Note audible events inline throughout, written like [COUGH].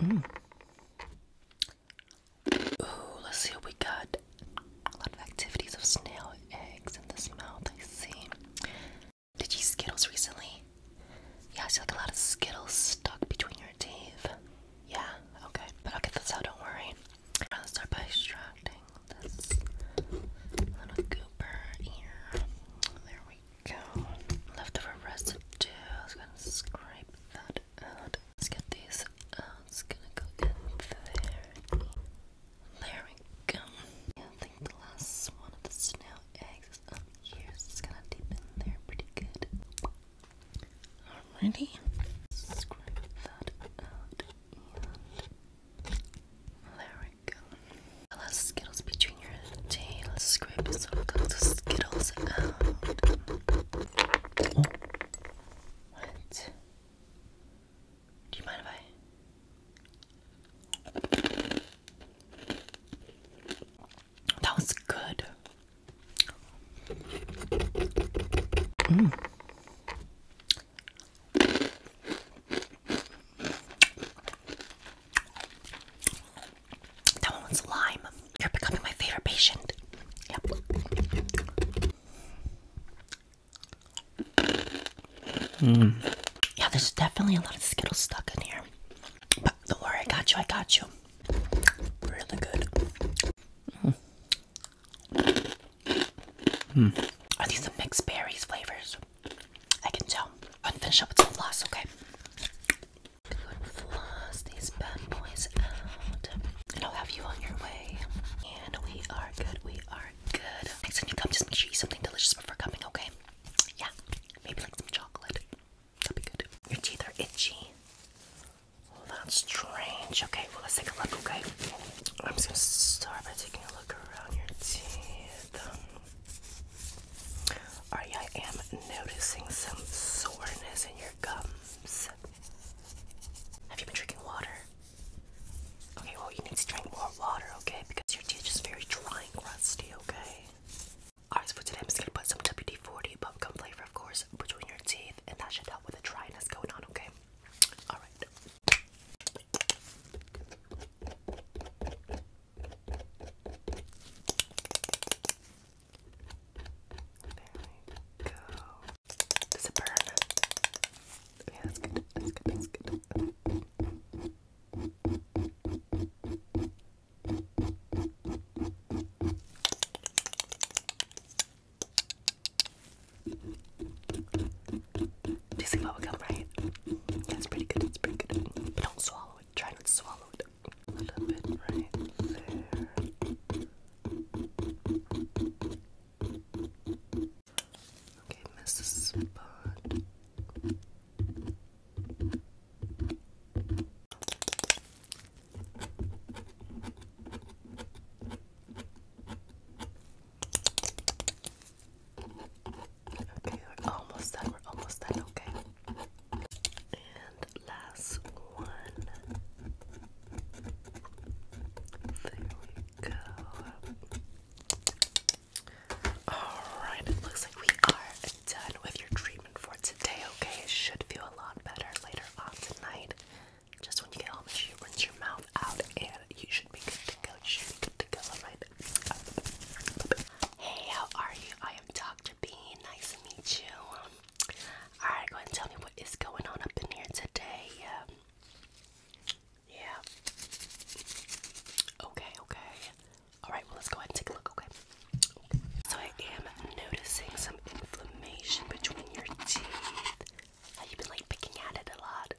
Mm. Ooh, let's see what we got. A lot of activities of snail eggs in this mouth, I see. Did you Skittles recently? Yeah, I see like a lot of Skittles stuck between your teeth. Yeah, okay. But I'll get this out, don't worry. I'm gonna start by extracting this little goober here. There we go leftover residue. I was gonna scrape that out. Let's get these out. It's gonna go in there. There we go. Yeah, I think the last one of the snail eggs is up here, so it's gonna deep in there pretty good. Alrighty. Scrape that out and there fork. A lot of Skittles between your teeth. Let's scrape some of those Skittles out. What? Do you mind if I? That was good. Mm. That one was lime. You're becoming my favorite patient. Yep. Mm. Yeah, there's definitely a lot of Skittles stuck in here. don't worry, I got you, I got you. Really good. Mm. Are these the mixed berries flavors? I can tell. I'm going up with some floss, okay? floss these bad boys out. I'll have you on your way. And we are good, we are good. Next time you come, just make sure you eat something delicious before coming, okay? Yeah, maybe like some chocolate. That'd be good. Your teeth are itchy. that's strange. Okay, well, let's take a look, okay? I'm just gonna start by taking a look around your teeth. Um, Alright, I am noticing some soreness in your gums. Have you been drinking water? Okay, well, you need to drink more water, okay? Because your teeth are very dry and crusty, okay? Alright, so for today, I'm just gonna put some WD 40 bubblegum flavor, of course, between your teeth, and that should help with the dryness going on, okay? Alright we go. Does it burn? Yeah, that's good. That's good. That's good. Do you see bubblegum, right? That's pretty good, it's pretty good. But don't swallow it, try not to swallow it. A little bit right there. Okay, miss the spot. Okay, we're almost done. We're almost done. Okay. And last one. There we go. Alright, it looks like we are done with your treatment for today, okay? It should feel a lot better later on tonight. Just when you get home, you rinse your mouth out, and you should be good to go. You should be good to go, alright? Hey, how are you? I am Dr. Bean. Nice to meet you. Alright, go ahead and tell me what is going on up in here today. Um, yeah. Okay, okay. Alright, well, let's go ahead and take a look, okay. So, I am noticing some inflammation between your teeth. Have you been like picking at it a lot?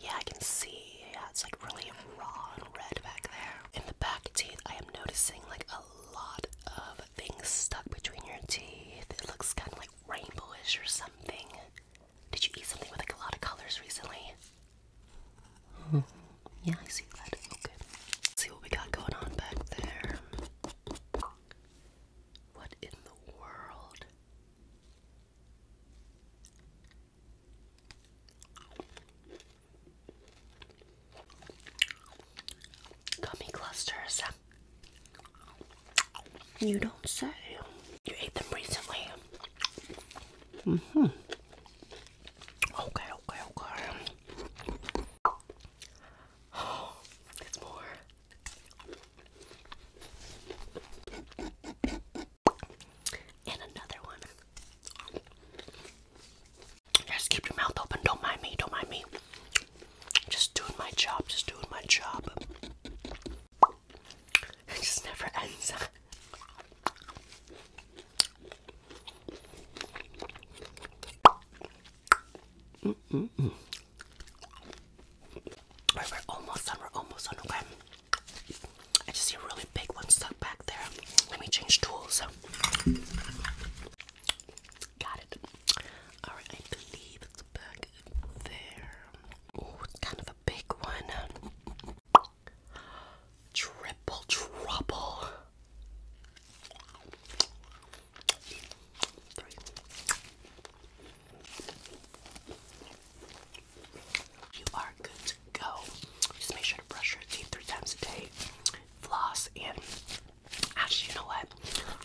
Yeah, I can see. Yeah, it's like really raw and red back there. In the back teeth, I am noticing like a lot of things stuck between your teeth. It looks kind of like rainbowish or something. Did you eat something with like a lot of colors recently? Hmm. Yeah, I see that. Okay. let see what we got going on back there. What in the world? Gummy clusters. You don't say. You ate them recently. Mm hmm. Okay, okay, okay. Oh, it's more. And another one. Just keep your mouth open. Don't mind me. Don't mind me. Just doing my job. Just doing my job. It just never ends. [LAUGHS] we're almost we're almost done, okay? I just see a really big one stuck back there. Let me change tools. Got it. Alright, I believe it's back there. kind of a big one triple, triple trouble. You are good to go. Just make sure to brush your teeth three times a day, floss, and actually, you know what?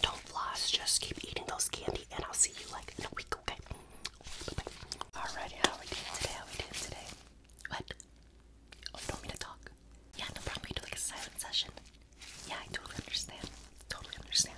Don't floss, just keep eating those candy, and I'll see you like in a week, okay? Bye how we doing today? How we doing today? What? Oh, you want me to talk? Yeah, no problem. We do like a silent session. Yeah, I totally understand. Totally understand.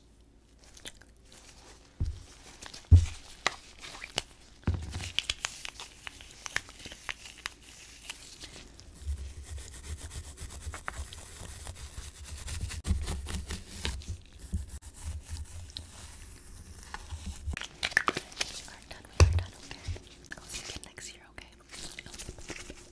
We're done. We're done. Okay. I'll see you again next year. Okay. okay.